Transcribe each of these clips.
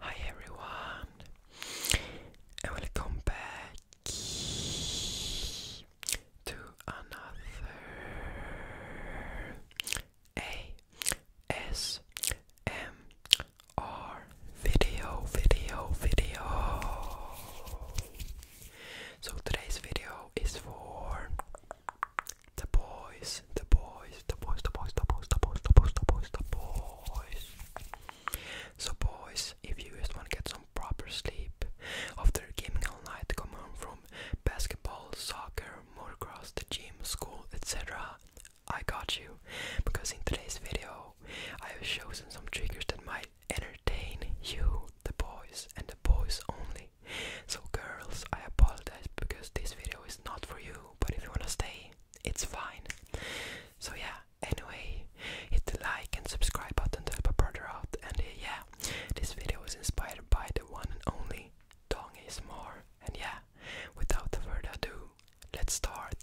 Hi everyone, and welcome back to another ASMR video, video, video. So today's video is for the boys, the boys, the boys, the boys, the boys, the boys, the boys, the boys, the boys. So boys, if you just want to get some proper sleep after gaming all night, come home from basketball, soccer, motocross, the gym, school, etc. I got you because in today's video I have chosen some triggers that might entertain you, the boys, and the boys only. So, girls, I apologize because this video is not for you, but if you wanna stay, it's fine. So, yeah, anyway, hit the like and subscribe button to help a brother out. And uh, yeah, this video is inspired by the one and only Dong is more. And yeah, without further ado, let's start.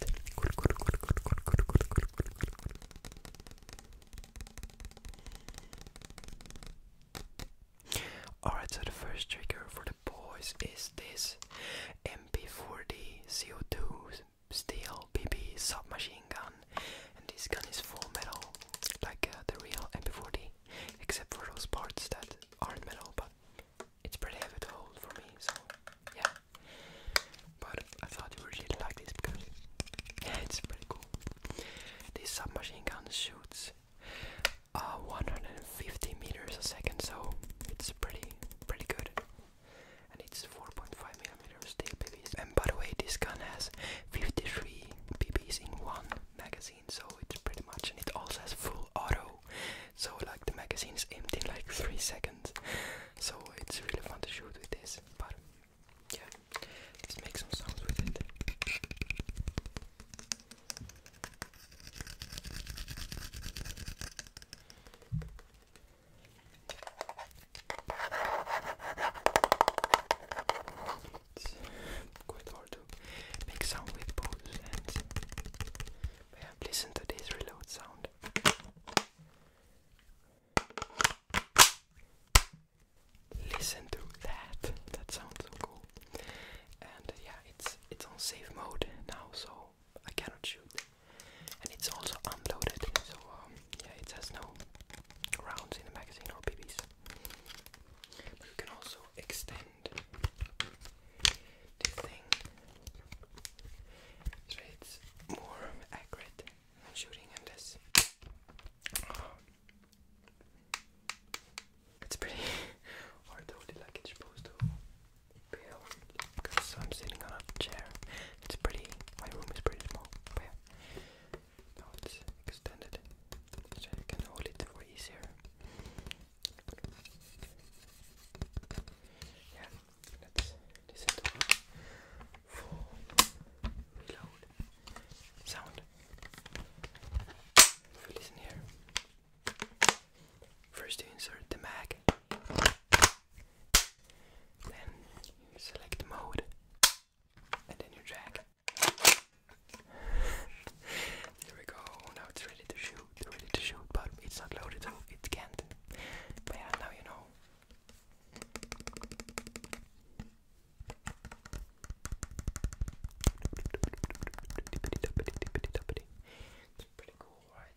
Alright, so the first trigger for the boys is this MP40 CO2 steel BB submachine gun. And this gun is full metal, like uh, the real MP40, except for those parts that aren't metal, but it's pretty heavy to hold for me, so yeah. But I thought you really like this because it's pretty cool. This submachine gun shoots uh, 150 meters a second, so it's pretty pretty good. And it's 4.5 millimeters steel PBs. And by the way, this gun has 53 PBs in one magazine, so it's pretty much. And it also has full auto, so like the magazine is empty in like three seconds so it's really fun to shoot with this, but yeah, let's make some sounds with it. It's quite hard to make sound with both hands. yeah, listen to this reload sound. Listen to that. That sounds so cool. And uh, yeah, it's it's on safe mode now, so I cannot shoot. And it's also unloaded, so um, yeah, it has no rounds in the magazine or BBs. But you can also extend this thing so it's more accurate shooting in this. It's pretty hard hold it like it's supposed to be held I'm sitting on a chair. It's pretty, my room is pretty small. But yeah, now it's extended so you can hold it for easier. Yeah, Let's listen to it reload sound. If we listen here, first you insert the mag, then you select the mode, and then you drag. there we go. Now it's ready to shoot. Ready to shoot, but it's not loaded, so it can't. But yeah, now you know. It's pretty cool, right?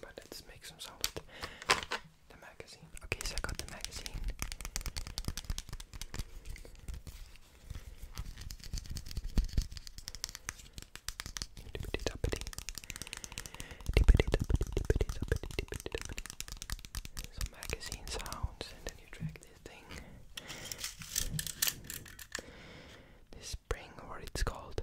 But let's make some sound the magazine. Okay, so I got the magazine. Some magazine sounds, and then you drag this thing. This spring, or it's called.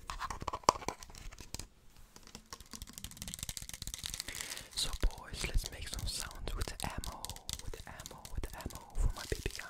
So boys, let's make some sounds with the ammo, with the ammo, with the ammo for my BB gun.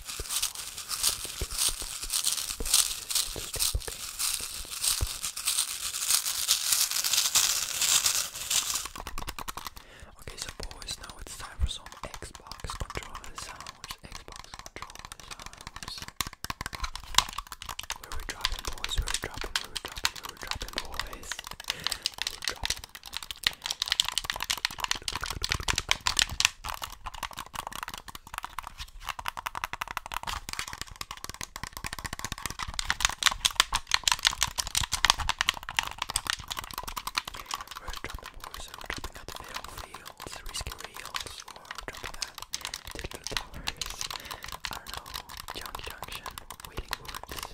Okay, so boys, now it's time for some Xbox controller sounds. Xbox controller sounds. Where we dropping, boys? Where we dropping? Where we dropping? Where we dropping, boys? Where we dropping? Or drop the wars, or dropping out the battlefields, risky reels, or dropping out digital towers. I don't know, Johnny Junction, Waiting Woods.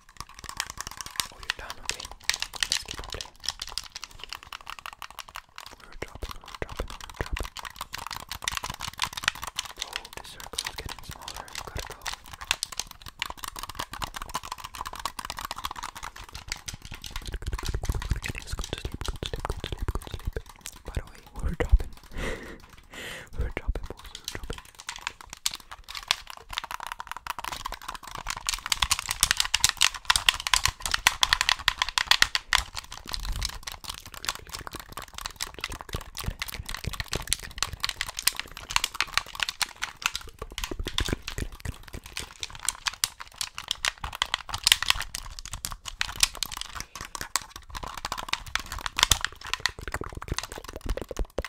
Oh, you're done, okay. Let's keep on playing. We were dropping, we were dropping, we were dropping. Oh, the circle is getting smaller. I've got to go. Good, good, good, good, good. Getting good to sleep, good to sleep, good to sleep, good to sleep. By the way, we were dropping. we're dropping, boys. We're dropping.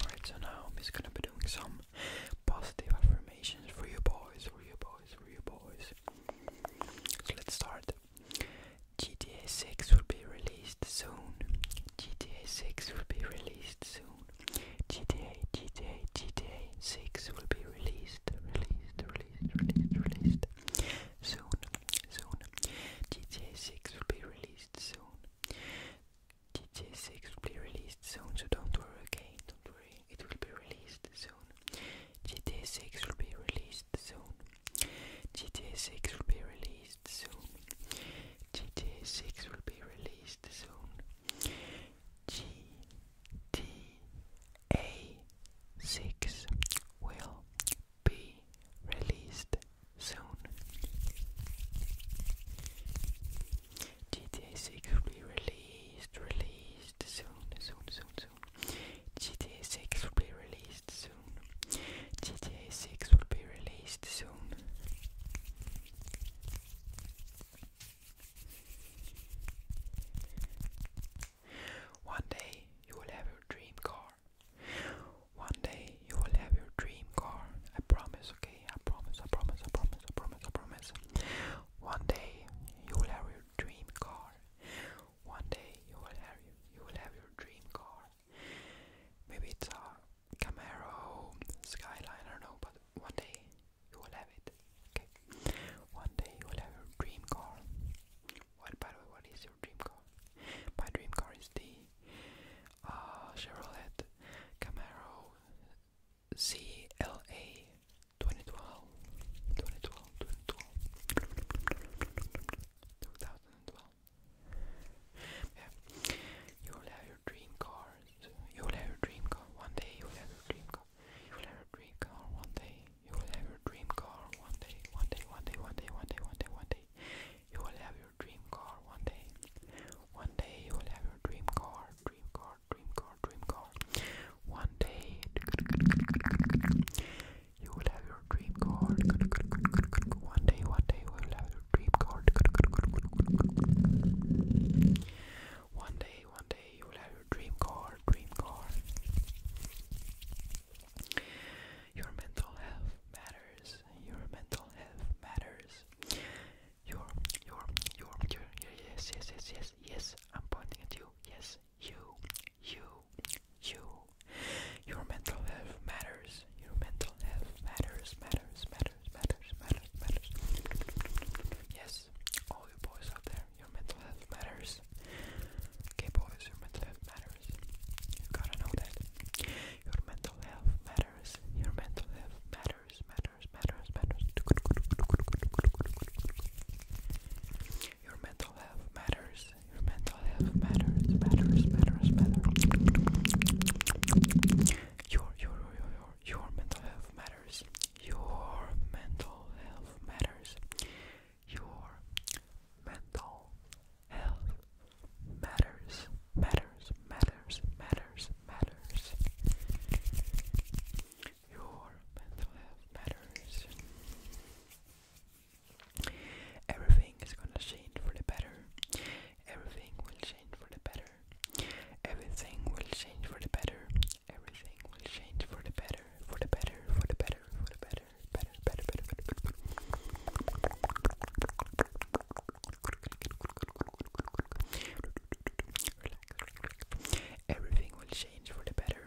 Alright, so now I'm just gonna be doing some positive affirmations for you boys, for you boys, for you boys. So let's start. GTA 6 will be released soon. GTA 6 will be released soon. GTA, GTA, GTA 6 will be released, released, released, released, released soon, soon. GTA 6 will be released soon. GTA 6 will be released soon, so don't worry, okay? Don't worry, it will be released soon. GTA 6 will be released soon. GTA 6 will be released soon. GTA 6 will be released soon. GTA 6 will be released soon. GTA 6 will be released soon, soon, soon, soon. GTA 6 will be released soon. GTA 6 will be released soon. One day you will have your dream car. One day you will have your dream car. I promise, okay? I promise, I promise, I promise, I promise, I promise. One day you will have your dream car one day you will have your, you will have your dream car. Maybe it's a Camaro, Skyline, I don't know, but one day you will have it. Okay, one day you will have your dream car. What, by the way, what is your dream car? My dream car is the uh, Chevrolet Camaro CLA 2012, Yeah. You will have your dream cars. You will have your dream car one day. You will have your dream car. You will have your dream car one day. You will have your dream car one day. One day. One day. One day. One day. One day. One day. You will have your dream car one day. One day you will have your dream car. Dream car. Dream car. Dream car. One day you will have your dream car. One day, one day we will have your dream card. One day, one day you will have your dream card, dream card. Your mental health matters. Your mental health matters. Your, your, your, your, yes, yes, yes, yes, yes. I'm pointing at you. Yes, you, you, you, your mental health matters. Your mental health matters, matters, matters, matters, matters, matters. Yes, all you boys out there, your mental health matters. Okay, boys, your mental health matters. You gotta know that. Your mental health matters. Your mental health matters, matters, matters, matters. Your mental health matters. Your mental health matters, matters, matters, matters. Your, your, your, your, your mental health matters. Your mental health matters. Your mental health matters, matters, matters, matters, matters. Your mental health matters. Everything is gonna change for the better. Everything will change for the better. Everything will change for the better. Everything will change for the better. For the better. For the better. For the better. Better. Better. Better. Better. relax. Everything will change for the better.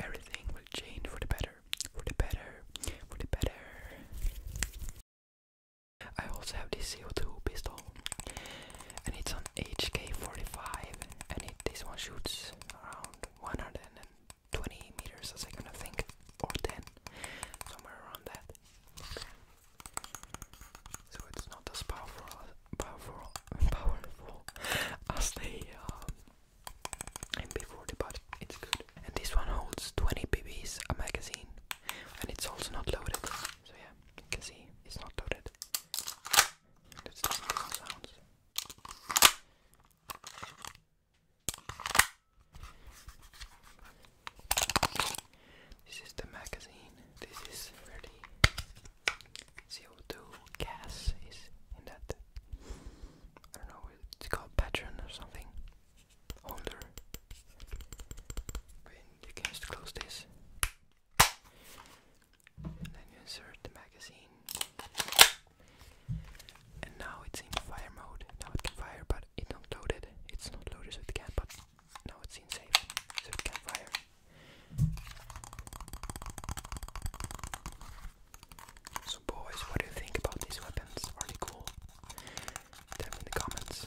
everything will change for the better, for the better, for the better. I also have this CO2 pistol, and it's on HK45, and it, this one shoots around 120 meters a second, I think, or 10, somewhere around that. So it's not as powerful, powerful, powerful as the um, MP40, but it's good. And this one holds 20 bb's a magazine, and it's also not loaded. So yeah, you can see it's not loaded. Let's listen to some sounds. This is the magazine. This is really CO2 gas is in that. I don't know, it's called patron or something. Holder. you can just close this. And then you insert the magazine. And now it's in fire mode. Now it can fire, but it's not loaded. It's not loaded, so it but now it's in safe, so it can fire. So boys, what do you think about these weapons? Are they cool? Tell in the comments.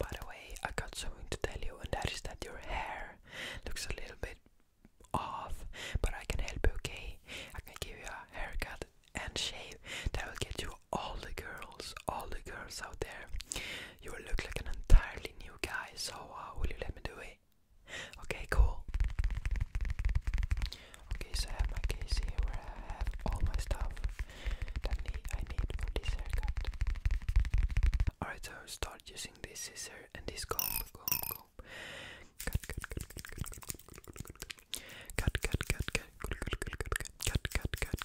By the way, I got something to tell you, and that is that your hair looks a little bit off, but I can help you, okay? I can give you a haircut and shave that will get you all the girls, all the girls out there. You will look like an entirely new guy, so uh, will you let me do it? Okay, cool. Okay, so I have my case here where I have all my stuff that I need for this haircut. Alright, so start using this scissor and this comb, comb, comb. Cut, cut, cut, cut, cut, cut, cut, cut, cut, cut, cut, cut, cut, cut, cut, cut, cut, cut, cut,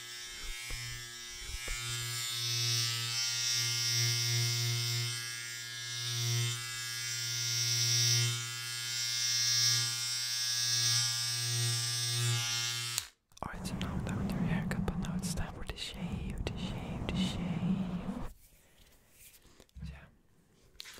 Alright, so now down your haircut, but now it's time for the shave, the shave, the shave. Yeah.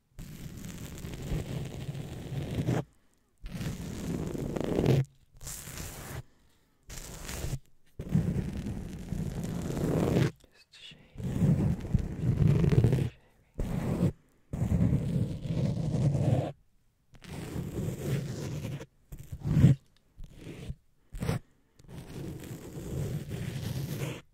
Just shaving, shaving.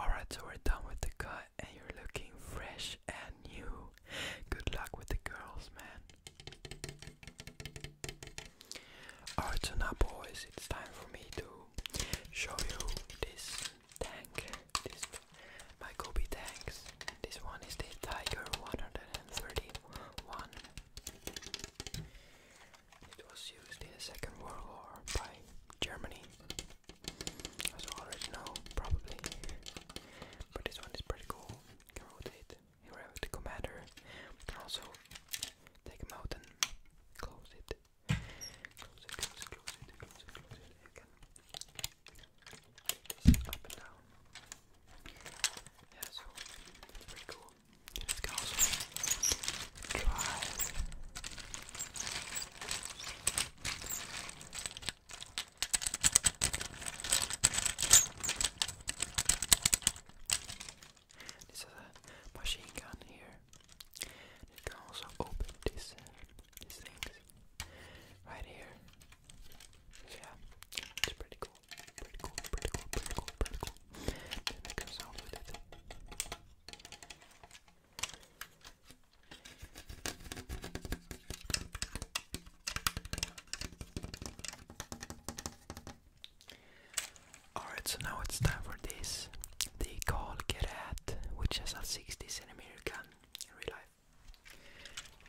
Alright, so we're done with the cut, and you're looking fresh and new. Good luck with the girls, man. Alright, so now, boys, it's time for me to show you this tank. This my tanks. This one is the Tiger 131. It was used in the Second World War by Germany. As you already know, probably. But this one is pretty cool. can rotate. You have the commander. You can also take him out and close it. Close it, close it, close it, close it, close it again. Take this up and down. Yeah, so pretty cool. Let's go also drive. This is a machine gun here. It can also open uh, these things right here. So yeah, it's pretty cool. Pretty cool, pretty cool, pretty cool, pretty cool. Let's make some sound with Alright, so now it's time for this. The call get out, which has a 60 centimeter gun in real life.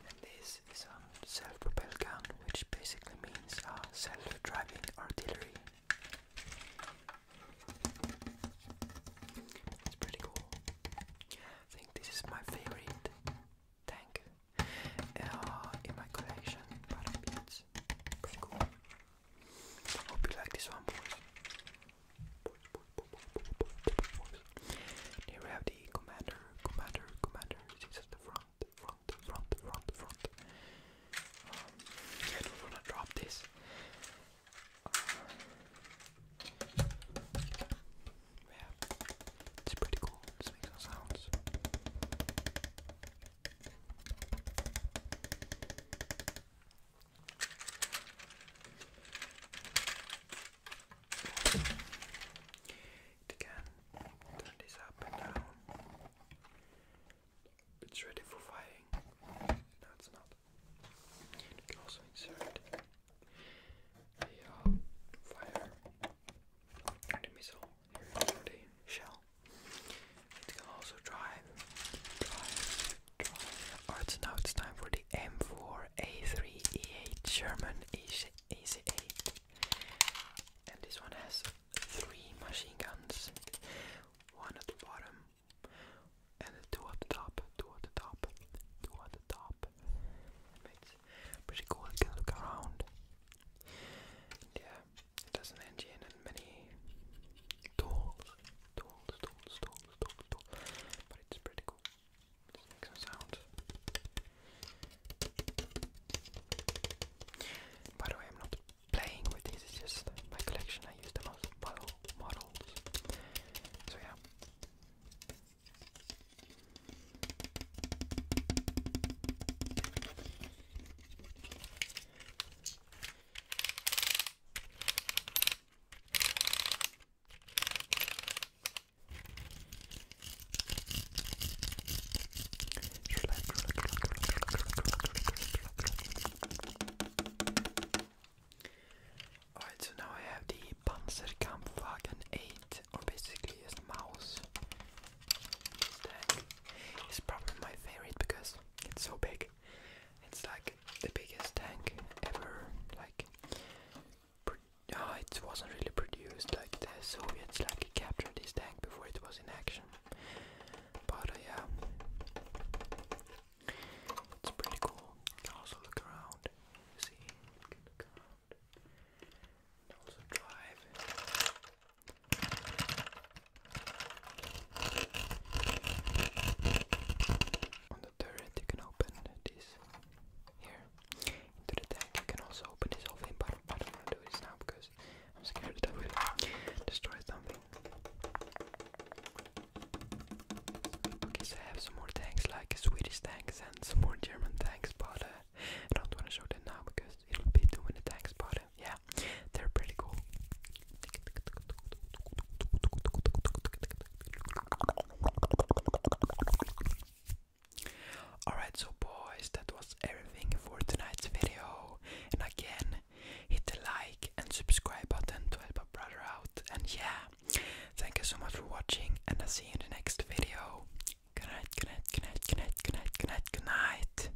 And this is a self propelled gun, which basically means a self driving artillery. It's pretty cool. I think this is my favorite tank uh, in my collection, pretty cool. Hope you like this one, boys. Here we have the commander, commander, commander. This is the front, front, front, front, front. Um, yeah, I do to drop this. Uh, yeah, it's pretty cool. Let's some sounds. It turn this up and down. It's ready for firing. No, it's not. You can also insert the uh, fire, the missile the shell. It can also drive, Alright, now it's time for the M4, A3, E8, German AC8. And this one has three machine guns. One at the bottom, and two at the top, two at the top, two at the top. It's pretty cool, you can look around. yeah, it doesn't engine in many tools, tools, tools, tools, tools, tools. But it's pretty cool. make some sounds. By the way, I'm not playing with these, it's just my collection. I use them as model models. So yeah. Alright, so now I have the Panzerkampfwagen 8, or basically a mouse. It's probably my favorite because it's so big. It's like the biggest tank ever. Like, oh, it wasn't really produced. Like the Soviets like captured this tank before it was in action. But uh, yeah, it's pretty cool. can also look around. See, can look around. And also drive. On the turret you can open this here into the tank. You can also open this whole but I don't want to do this now because I'm scared that destroy something. Okay, I have some more tanks, like Swedish tanks and some more German tanks, but uh, I don't want to show them now because it'll be too many tanks, but uh, yeah, they're pretty cool. Alright, so boys, that was everything for tonight's video. And again, hit the like and subscribe button to help a brother out. And yeah, thank you so much for watching, and I'll see you in the next video. Good night, good night, good night, good good night, good night, good night.